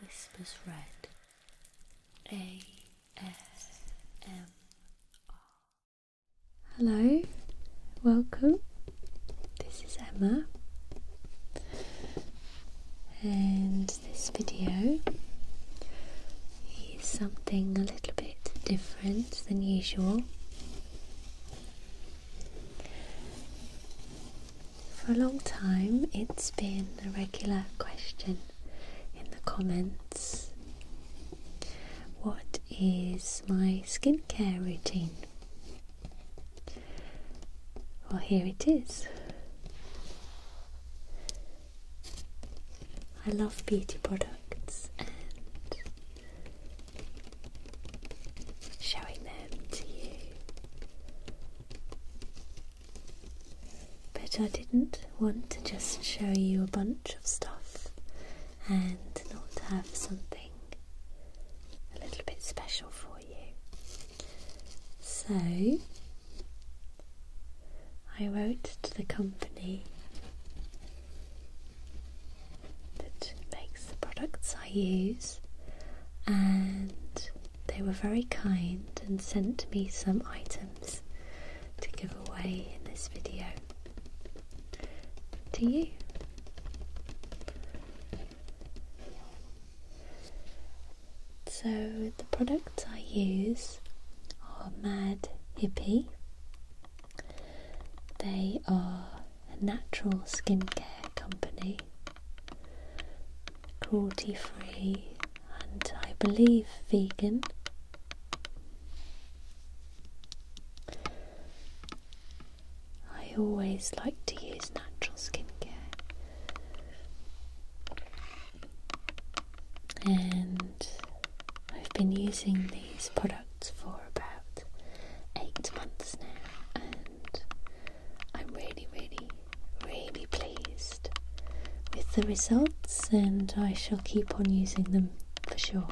Whispers Red ASMR. Hello, welcome. This is Emma, and this video is something a little bit different than usual. For a long time, it's been a regular question in the comments. What is my skincare routine? Well, here it is. I love beauty products and showing them to you but I didn't want to just show you a bunch of stuff and not have something a little bit special for you. So I wrote to the company that makes the products I use and they were very kind and sent me some items to give away in this video. To you. So the products I use are Mad Hippy. They are a natural skincare company cruelty free, and I believe vegan. I always like to use natural skincare and I've been using these products for about eight months now I'm really, really, really pleased with the results, and I shall keep on using them for sure.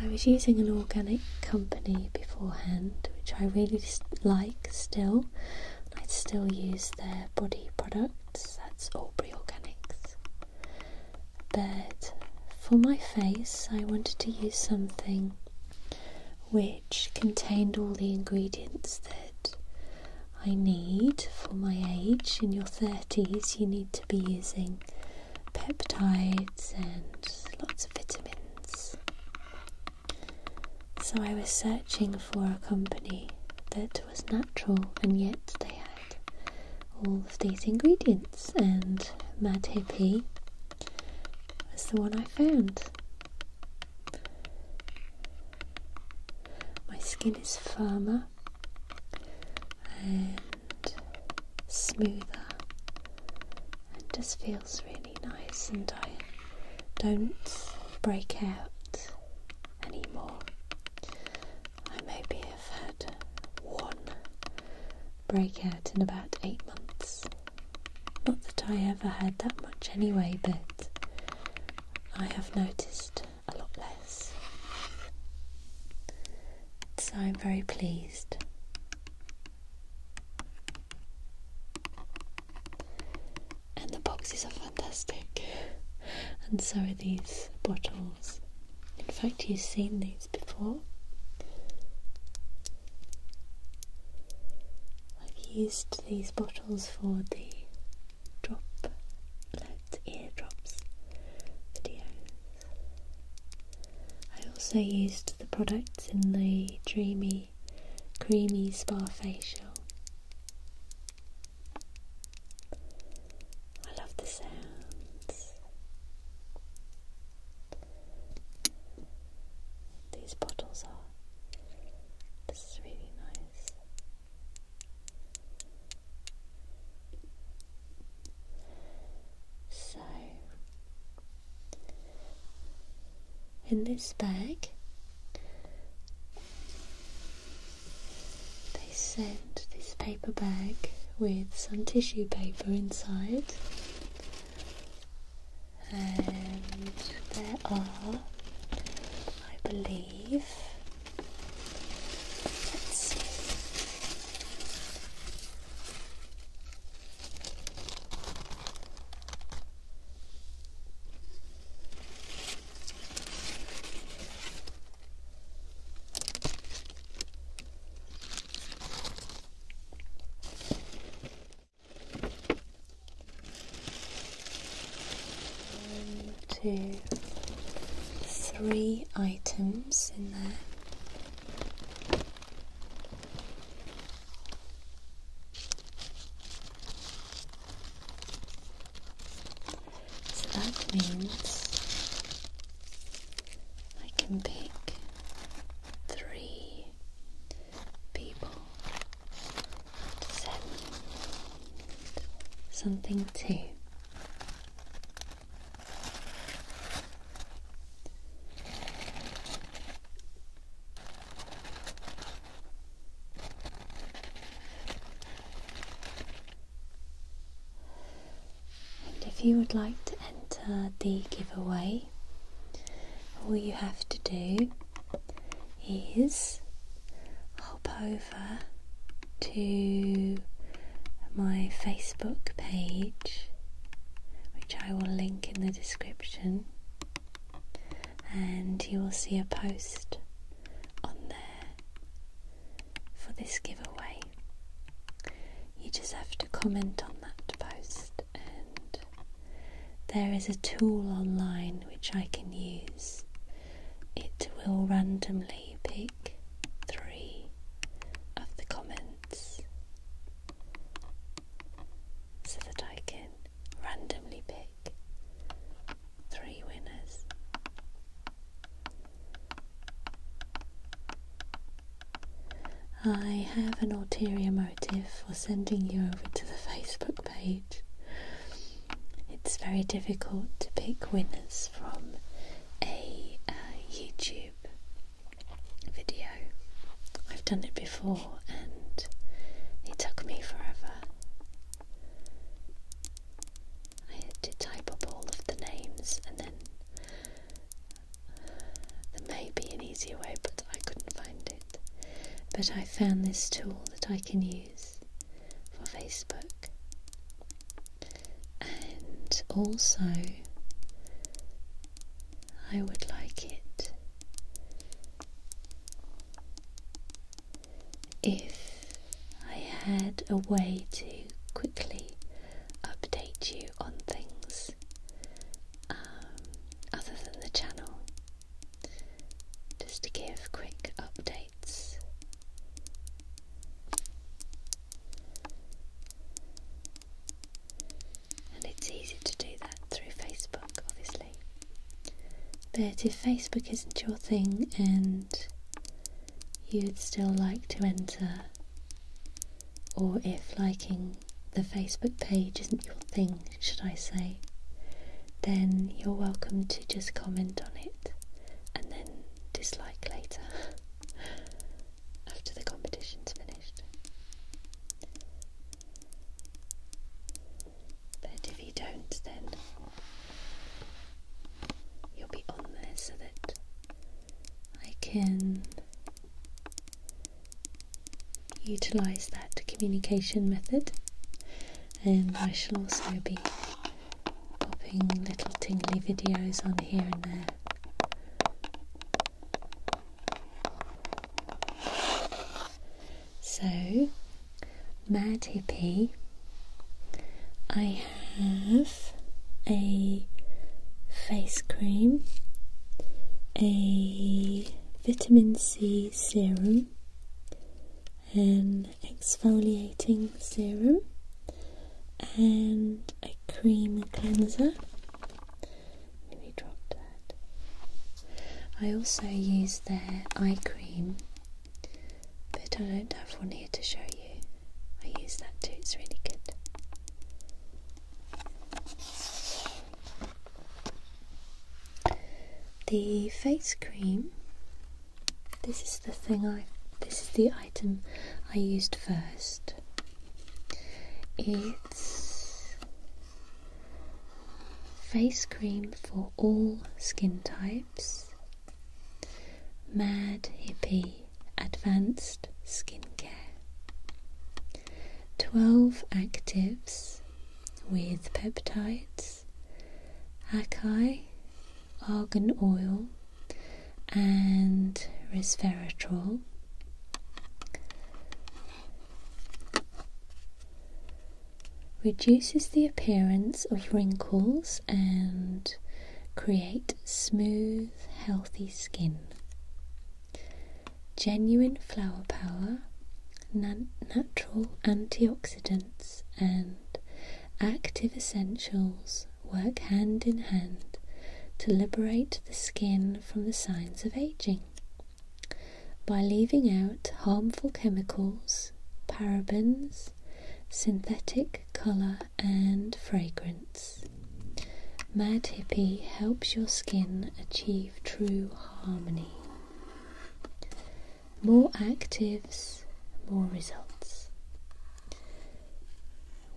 I was using an organic company beforehand, which I really like still. I still use their body products, that's Aubrey Organics but for my face I wanted to use something which contained all the ingredients that I need for my age. In your 30s, you need to be using peptides and lots of vitamins. So I was searching for a company that was natural and yet they had all of these ingredients and Mad Hippie was the one I found. My skin is firmer and smoother and just feels really nice and I don't break out anymore. I maybe have had one break out in about eight months. Not that I ever had that much anyway, but I have noticed a lot less. So I'm very pleased. And the boxes are fantastic, and so are these bottles. In fact, you've seen these before. I've used these bottles for the drop let eardrops videos. I also used the products in the Dreamy Creamy Spa Facial. I love the sounds. These bottles are. This is really nice. So, in this bag, they sent this paper bag with some tissue paper inside and there are, I believe, one, two, three items in there. So that means I can pick three people something to. And if you would like to enter the giveaway, all you have to do is hop over to my Facebook page, which I will link in the description, and you will see a post on there for this giveaway. You just have to comment on that post, and there is a tool online which I can use. It will randomly pick three of the comments so that I can randomly pick three winners. I have an ulterior motive for sending you over to the Facebook page. It's very difficult to pick winners from a uh, YouTube video. I've done it before and it took me forever. I had to type up all of the names and then there may be an easier way, but I couldn't find it. But I found this tool that I can use for Facebook. And also, I would like it if I had a way to quickly update you on things um, other than the channel, just to give quick updates. And it's easy to do that through Facebook, obviously. But if Facebook isn't your thing and you'd still like to enter or if liking the Facebook page isn't your thing, should I say, then you're welcome to just comment on it and then dislike later after the competition's finished. But if you don't, then you'll be on there so that I can utilise that communication method and I shall also be popping little tingly videos on here and there. So, Mad Hippie, I have a face cream, a vitamin C serum, an exfoliating serum, and a cream cleanser. Let me drop that. I also use their eye cream, but I don't have one here to show you. I use that too, it's really good. The face cream. This is the thing I. This is the item I used first. It's face cream for all skin types. Mad Hippie Advanced Skincare. 12 actives with peptides, acai, argan oil, and resveratrol. Reduces the appearance of wrinkles and create smooth, healthy skin genuine flower power, natural antioxidants, and active essentials work hand in hand to liberate the skin from the signs of aging. By leaving out harmful chemicals, parabens, synthetic colour, and fragrance. Mad Hippie helps your skin achieve true harmony. More actives, more results.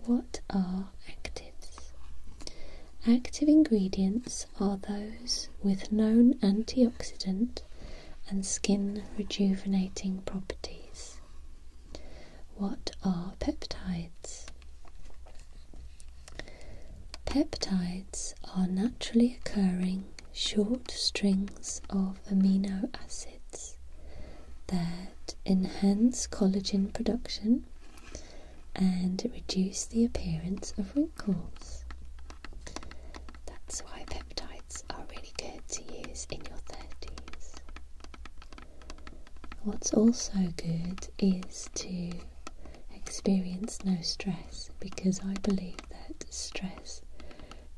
What are actives? Active ingredients are those with known antioxidant and skin rejuvenating properties. What are peptides? Peptides are naturally occurring short strings of amino acids that enhance collagen production and reduce the appearance of wrinkles. That's why peptides are really good to use in your 30s. What's also good is to experience no stress because I believe that stress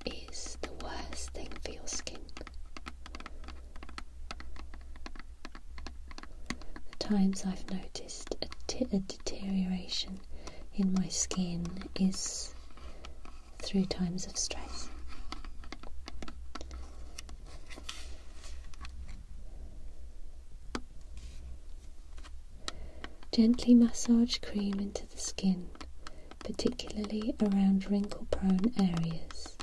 is the worst thing for your skin. The times I've noticed a deterioration in my skin is through times of stress. Gently massage cream into the skin, particularly around wrinkle prone areas.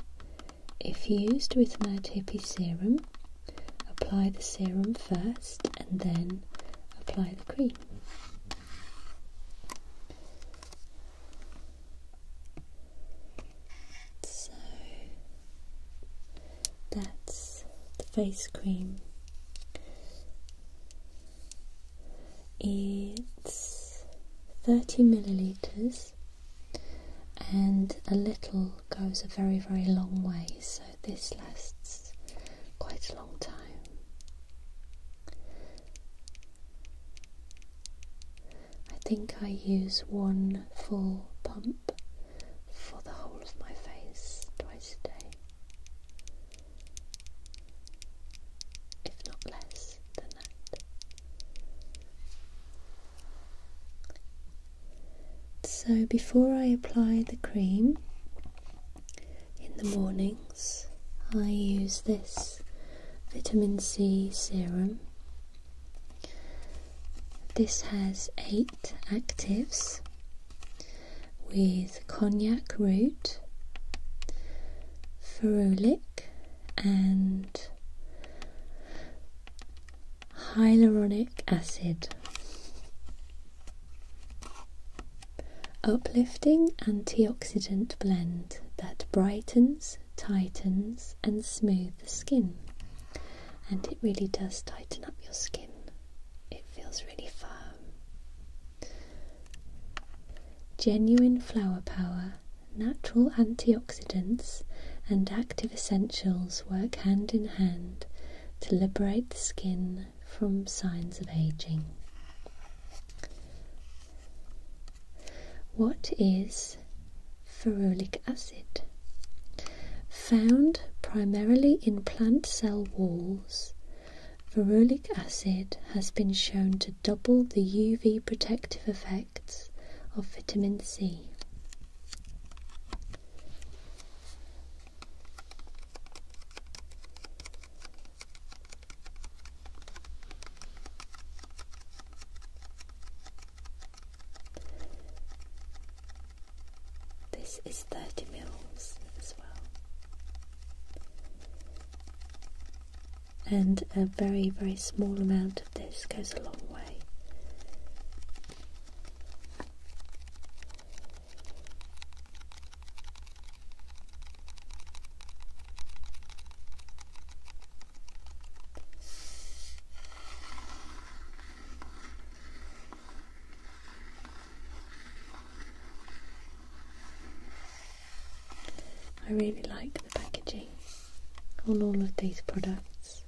If used with Mad Hippie Serum, apply the serum first and then apply the cream. So that's the face cream. It's 30 milliliters, and a little goes a very, very long way, so this lasts quite a long time. I think I use one full pump for the whole of my face twice a day, if not less than that. So, before I apply the cream in the mornings, I use this vitamin C serum this has eight actives with cognac root, ferulic, and hyaluronic acid. Uplifting antioxidant blend that brightens, tightens, and smooths the skin and it really does tighten up your skin. It feels really firm. Genuine flower power, natural antioxidants, and active essentials work hand in hand to liberate the skin from signs of aging. What is ferulic acid, found primarily in plant cell walls. Ferulic acid has been shown to double the UV protective effects of vitamin C. This is 30 mils as well. And a very, very small amount of this goes a long way. I really like the packaging on all of these products.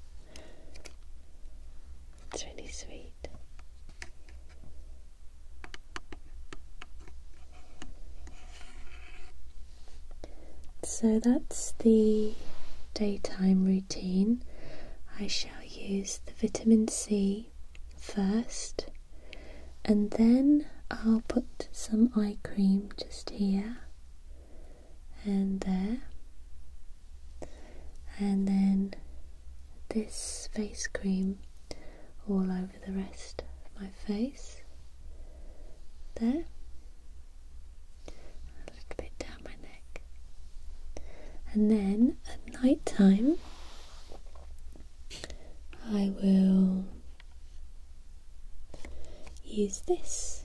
It's really sweet. So that's the daytime routine. I I'll use the vitamin C first and then I'll put some eye cream just here and there and then this face cream all over the rest of my face there a little bit down my neck. And then at night time, I will use this.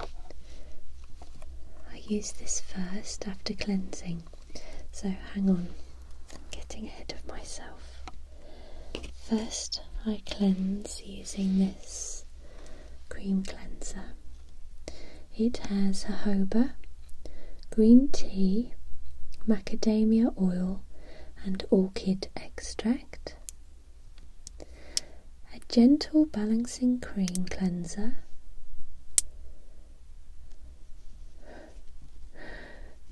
I use this first after cleansing, so hang on, I'm getting ahead of myself. First, I cleanse using this cream cleanser. It has jojoba, green tea, macadamia oil, and orchid extract. A gentle balancing cream cleanser.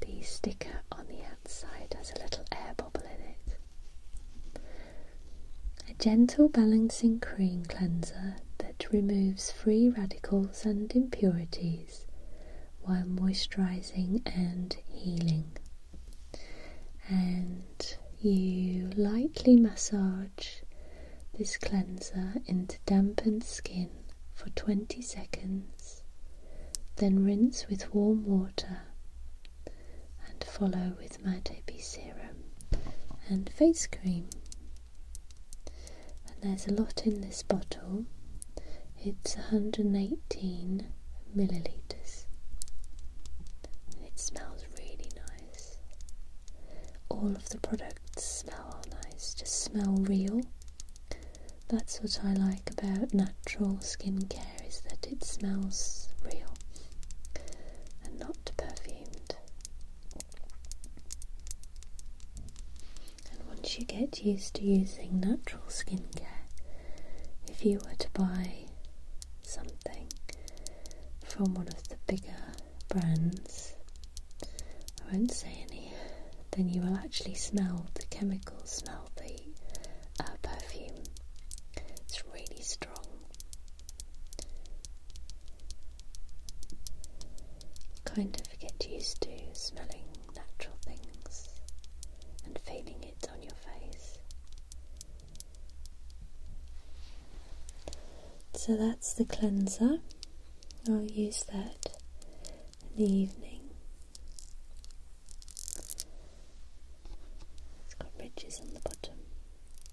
The sticker on the outside has a little air bubble in it. A gentle balancing cream cleanser that removes free radicals and impurities while moisturizing and healing. And you lightly massage this cleanser into dampened skin for 20 seconds, then rinse with warm water and follow with with my Toby serum and face cream. And there's a lot in this bottle. It's 118 milliliters. It smells really nice. All of the products smell nice, just smell real. That's what I like about natural skincare is that it smells real and not perfumed. And once you get used to using natural skincare, if you were to buy something from one of the bigger brands, I won't say any, then you will actually smell the chemicals, smell the uh, perfume. It's really strong kind of get used to smelling natural things and feeling it on your face. So that's the cleanser. I'll use that in the evening. It's got ridges on the bottom.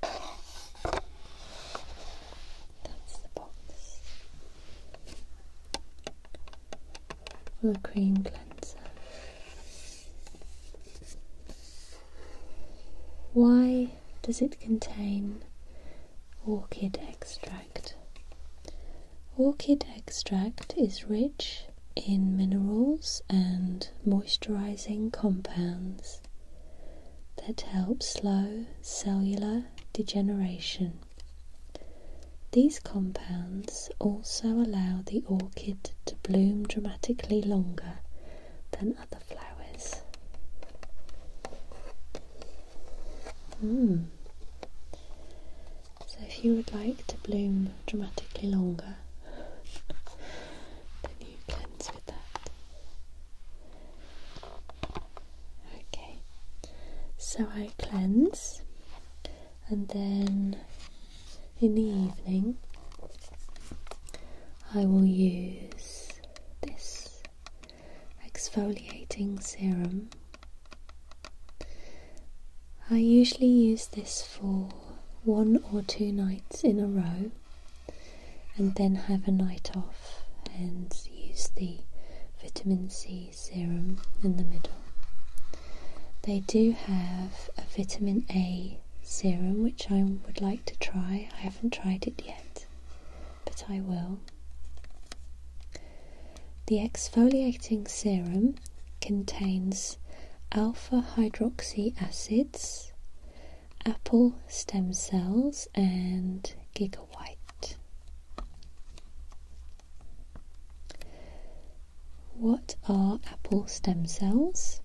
That's the box. For the cream cleanser. Why does it contain orchid extract? Orchid extract is rich in minerals and moisturizing compounds that help slow cellular degeneration. These compounds also allow the orchid to bloom dramatically longer than other flowers. Hmm. So, if you would like to bloom dramatically longer, then you cleanse with that. Okay, so I cleanse and then in the evening I will use this exfoliating serum. I usually use this for one or two nights in a row and then have a night off and use the vitamin C serum in the middle. They do have a vitamin A serum which I would like to try. I haven't tried it yet, but I will. The exfoliating serum contains alpha hydroxy acids, apple stem cells, and gig what are apple stem cells?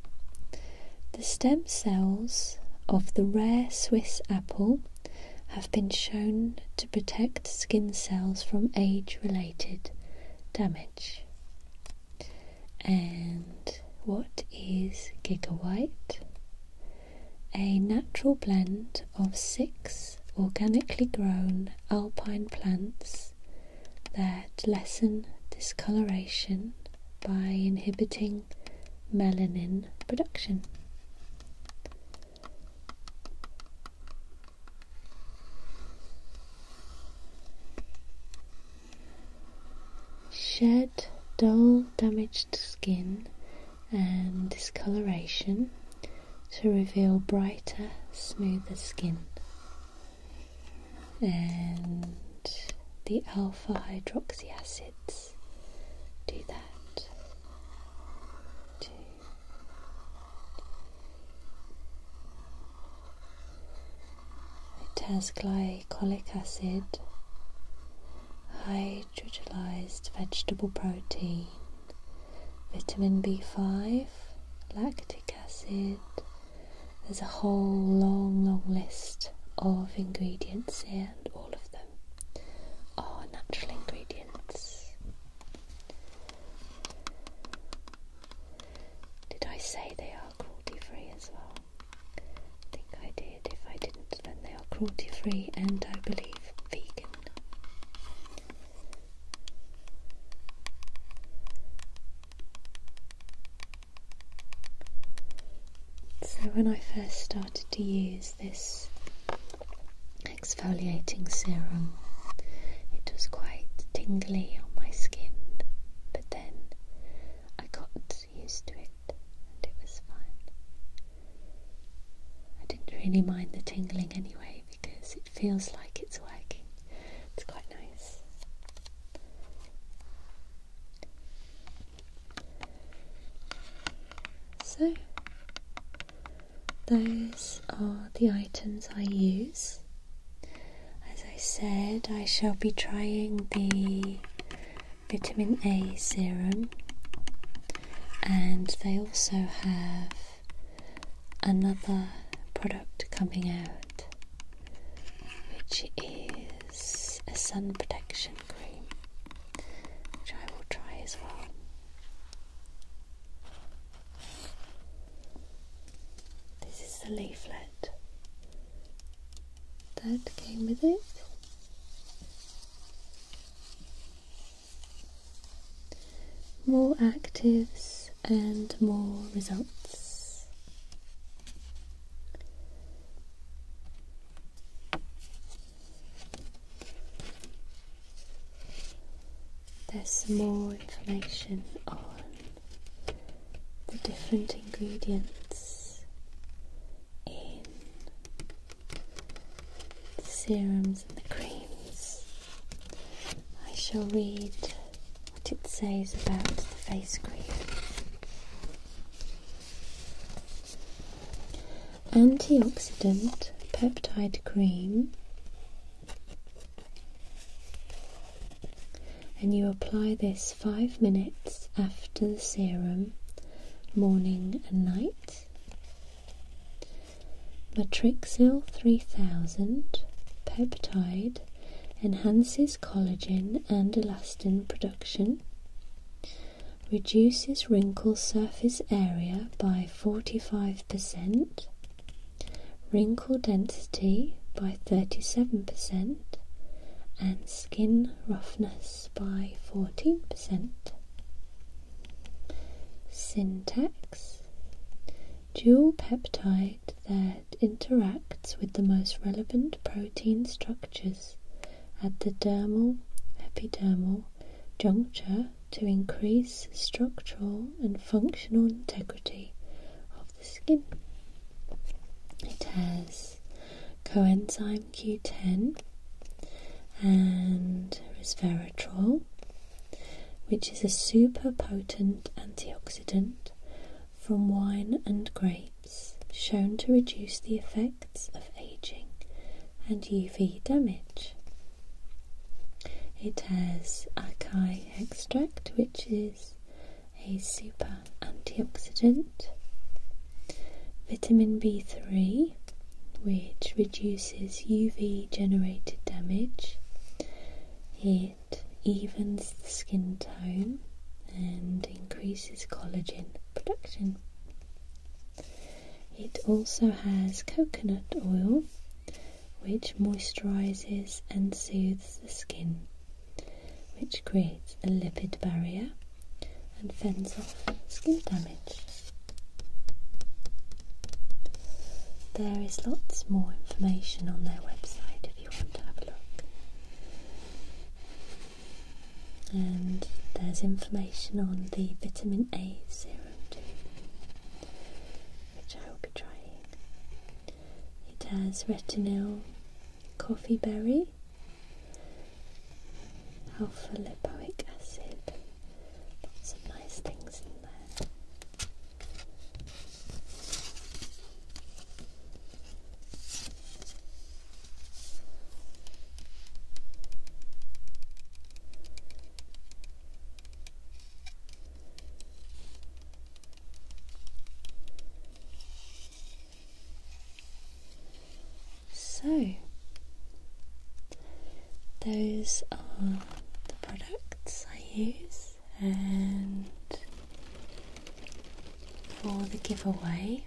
The stem cells of the rare Swiss apple have been shown to protect skin cells from age related damage. And what is gigabyte? a natural blend of six organically grown alpine plants that lessen discoloration by inhibiting melanin production. Shed dull damaged skin and discoloration to reveal brighter, smoother skin. And the alpha hydroxy acids do that It has glycolic acid hydrolyzed vegetable protein, vitamin B5, lactic acid. There's a whole long, long list of ingredients here, and all of them are natural ingredients. Did I say they are cruelty free as well? think I did. If I didn't, then they are cruelty free and I believe vegan. So, when I first started to use this exfoliating serum, it was quite tingly on my skin, but then I got used to it and it was fine. I didn't really mind the tingling anyway because it feels like it's working. It's quite nice. So, those are the items I use. As I said, I shall be trying the vitamin A serum, and they also have another product coming out, which is a sun protection cream, which I will try as well. This is the leaflet that came with it more actives and more results. There's some more information on the different ingredients in serums and the creams. I shall read what it says about the face cream. Antioxidant peptide cream, and you apply this five minutes after the serum, morning and night. Matrixil 3000 peptide enhances collagen and elastin production, reduces wrinkle surface area by 45%, wrinkle density by 37%, and skin roughness by 14%. Syntax Dual peptide that interacts with the most relevant protein structures at the dermal epidermal junction to increase structural and functional integrity of the skin. It has coenzyme Q10 and resveratrol, which is a super potent antioxidant from wine and grapes, shown to reduce the effects of aging and UV damage. It has acai extract, which is a super antioxidant, Vitamin B3, which reduces UV generated damage, it evens the skin tone and increases collagen production. It also has coconut oil, which moisturizes and soothes the skin, which creates a lipid barrier and fends off skin damage. There is lots more information on their website if you want to have a look. And there's information on the vitamin A serum too, which I will be trying. It has retinol, coffee berry, alpha lipoic acid, some nice things in there. So, those are the products I use, and for the giveaway,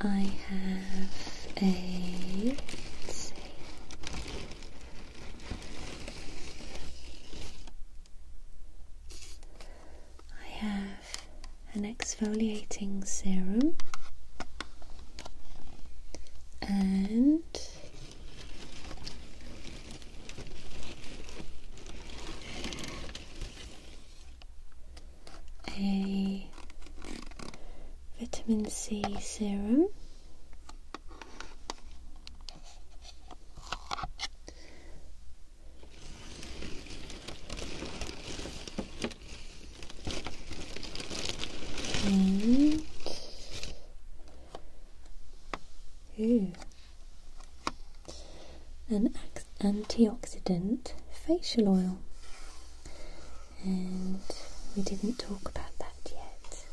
I have a let's an exfoliating serum and a vitamin C serum. And ooh, an antioxidant facial oil. And we didn't talk about that yet.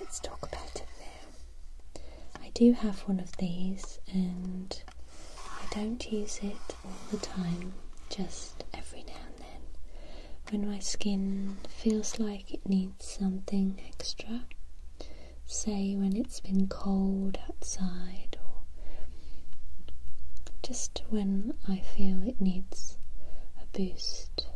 Let's talk about it now. I do have one of these, and I don't use it all the time, just every now and then. When my skin feels like it needs something extra, say when it's been cold outside or just when I feel it needs a boost.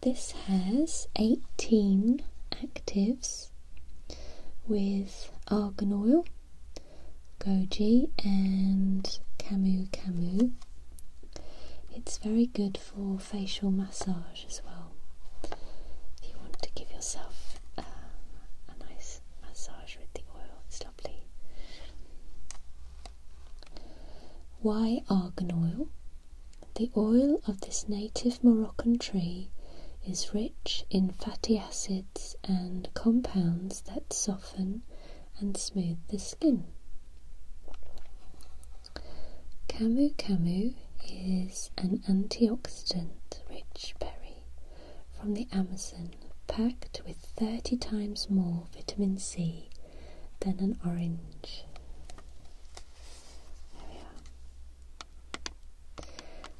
This has 18 actives with argan oil, goji, and camu camu. It's very good for facial massage as well. If you want to give yourself uh, a nice massage with the oil, it's lovely. Why argan oil? The oil of this native Moroccan tree is rich in fatty acids and compounds that soften and smooth the skin. Camu camu is an antioxidant rich berry from the Amazon packed with 30 times more vitamin C than an orange.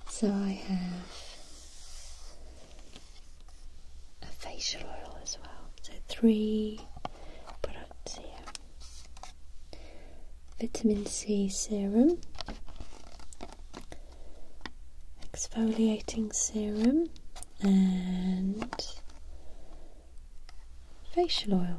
So I have a facial oil as well. So three products here. Vitamin C serum. Exfoliating serum and facial oil.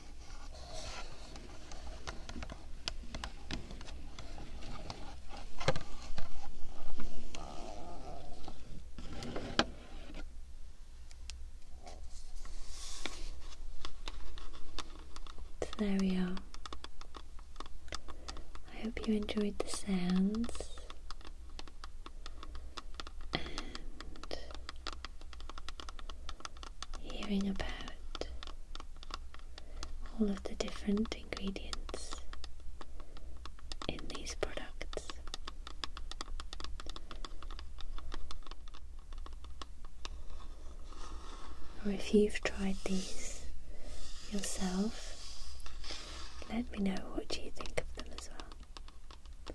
There we are. I hope you enjoyed the sounds hearing about all of the different ingredients in these products. Or if you've tried these yourself, let me know what you think of them as well.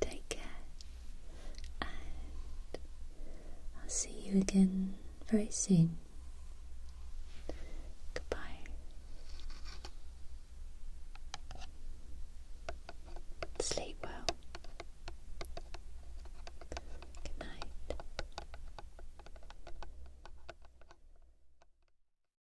Take care, and I'll see you again very soon. Goodbye. Sleep well. Good night.